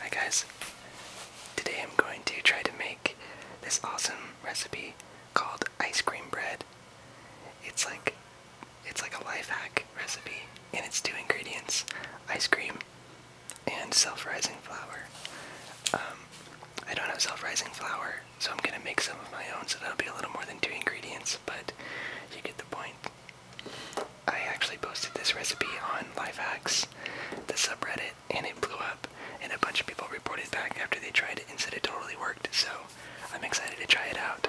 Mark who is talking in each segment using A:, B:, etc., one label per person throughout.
A: Hi guys, today I'm going to try to make this awesome recipe called ice cream bread. It's like it's like a life hack recipe and it's two ingredients, ice cream and self-rising flour. Um, I don't have self-rising flour, so I'm gonna make some of my own so that'll be a little more than two ingredients, but you get the point. I actually posted this recipe on Lifehacks, the subreddit, and it blew up. And a bunch of people reported back after they tried it and said it totally worked. So I'm excited to try it out.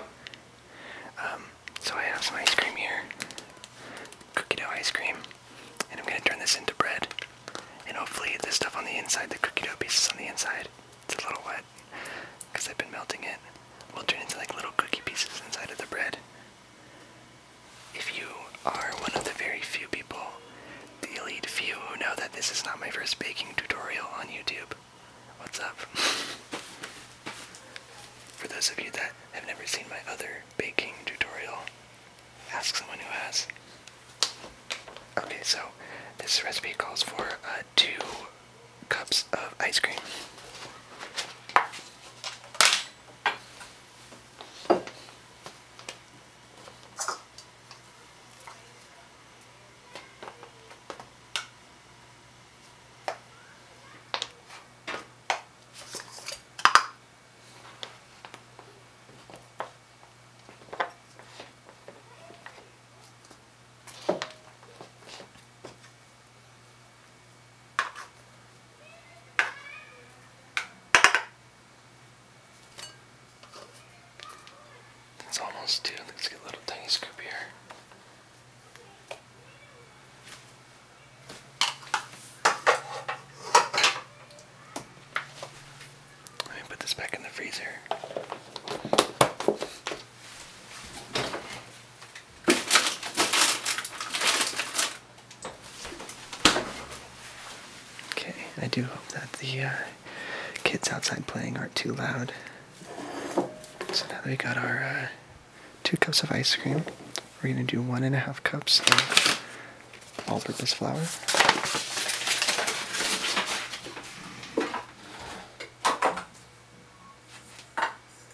A: Um, so I have some ice cream here, cookie dough ice cream, and I'm gonna turn this into bread. And hopefully the stuff on the inside, the cookie dough pieces on the inside, it's a little wet because I've been melting it will turn into like little cookie pieces inside of the bread. If you are one of the very few people, the elite few who know that this is not my first baking tutorial on YouTube, what's up? For those of you that have never seen my other baking tutorial, ask someone who has. Okay, so this recipe calls for uh, two cups of ice cream. It's almost due. Let's get a little tiny scoop here. Let me put this back in the freezer. Okay, I do hope that the uh, kids outside playing aren't too loud. So now that we got our uh, two cups of ice cream, we're gonna do one and a half cups of all-purpose flour.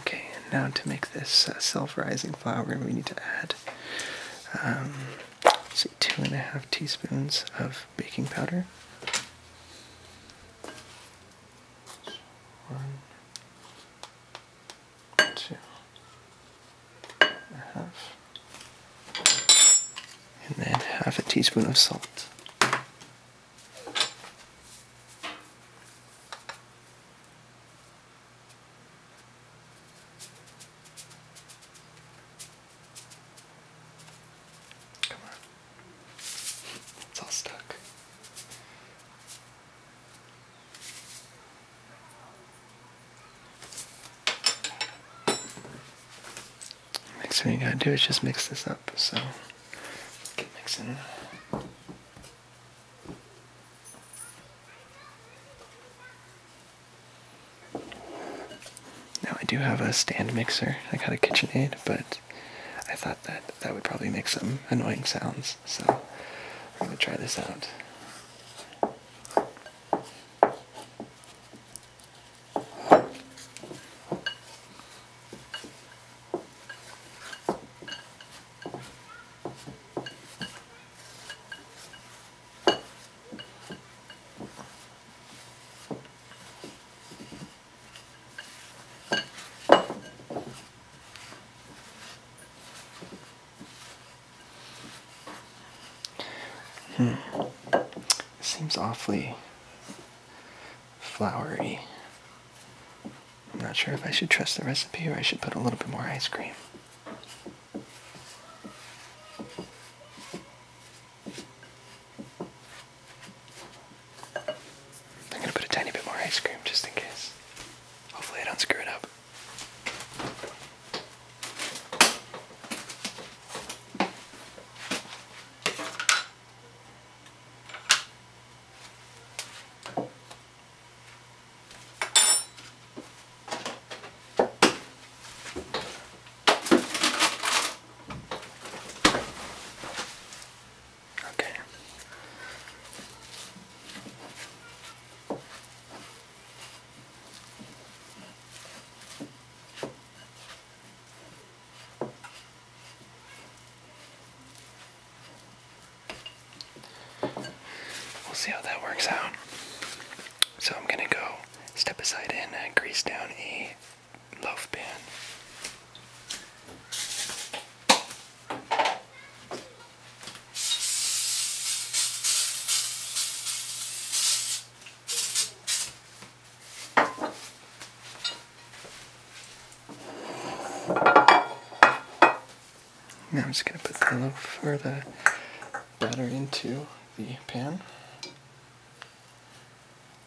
A: Okay, and now to make this uh, self-rising flour, we need to add um, say two and a half teaspoons of baking powder. One, two and a half, and then half a teaspoon of salt. Come on. It's all stuck. Next thing you gotta do is just mix this up. So keep mixing. Now I do have a stand mixer. I got a KitchenAid, but I thought that that would probably make some annoying sounds. So I'm going to try this out. Hmm. Seems awfully flowery. I'm not sure if I should trust the recipe or I should put a little bit more ice cream. I'm gonna put a tiny bit more ice cream just in case. Hopefully, I don't screw it up. Okay. We'll see how that works out. So I'm gonna go step aside in and uh, grease down E. Now I'm just going to put the loaf or the batter into the pan.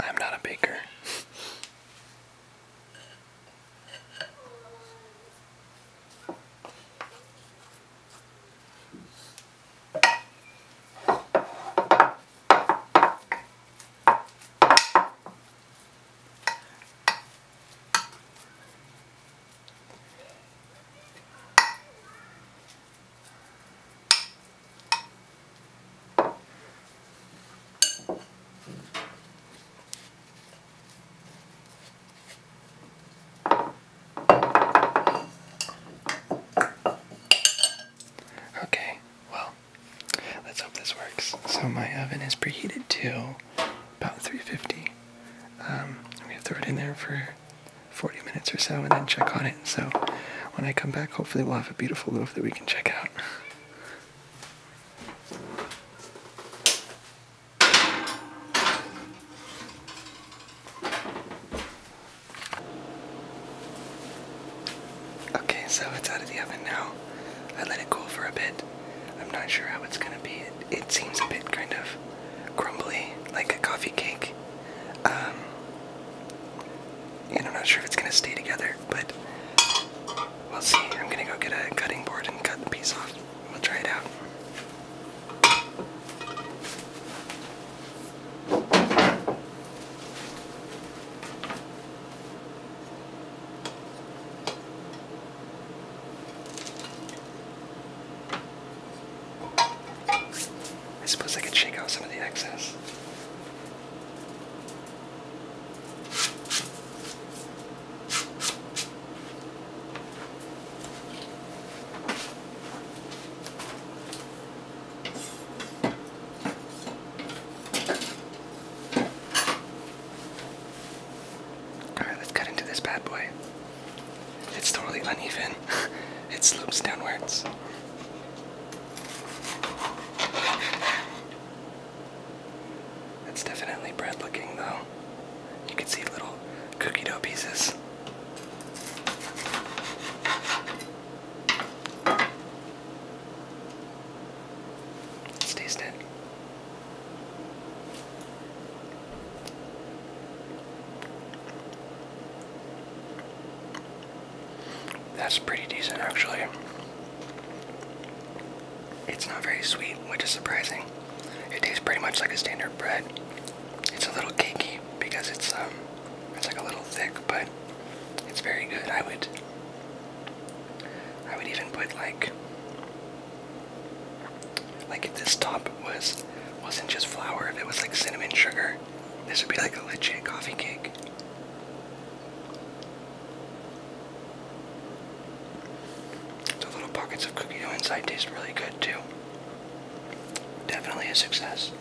A: I'm not a baker. Okay, well, let's hope this works. So my oven is preheated to about 350. Um, we have to throw it in there for 40 minutes or so and then check on it. So when I come back, hopefully we'll have a beautiful loaf that we can check out. Okay, so it's out of the oven now. I let it cool for a bit. I'm not sure how it's gonna be. It, seems a bit kind of crumbly, like a coffee cake. Um, I'm not sure if it's gonna stay together, but we'll see. I'm gonna go get a cutting board and cut the piece off. We'll try it out. I suppose I could shake out some of the excess. Alright, let's cut into this bad boy. It's totally uneven. it slopes downwards. It's definitely bread looking though. You can see little cookie dough pieces. Let's taste it. That's pretty decent, actually. It's not very sweet, which is surprising. It tastes pretty much like a standard bread. It's a little cakey because it's um, it's like a little thick, but it's very good. I would, I would even put like, like if this top was wasn't just flour, if it was like cinnamon sugar, this would be like a legit coffee cake. The little pockets of cookie dough inside taste really good too. Definitely a success.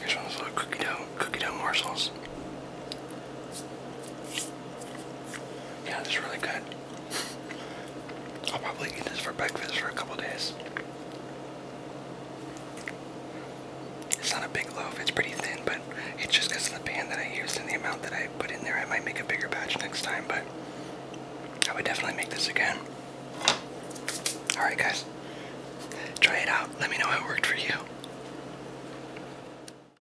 A: Here's one of those little cookie dough, cookie dough morsels. Yeah, it's really good. I'll probably eat this for breakfast for a couple days. It's not a big loaf, it's pretty thin, but it's just because of the pan that I used and the amount that I put in there. I might make a bigger batch next time, but I would definitely make this again. Alright, guys, try it out. Let me know how it worked for you.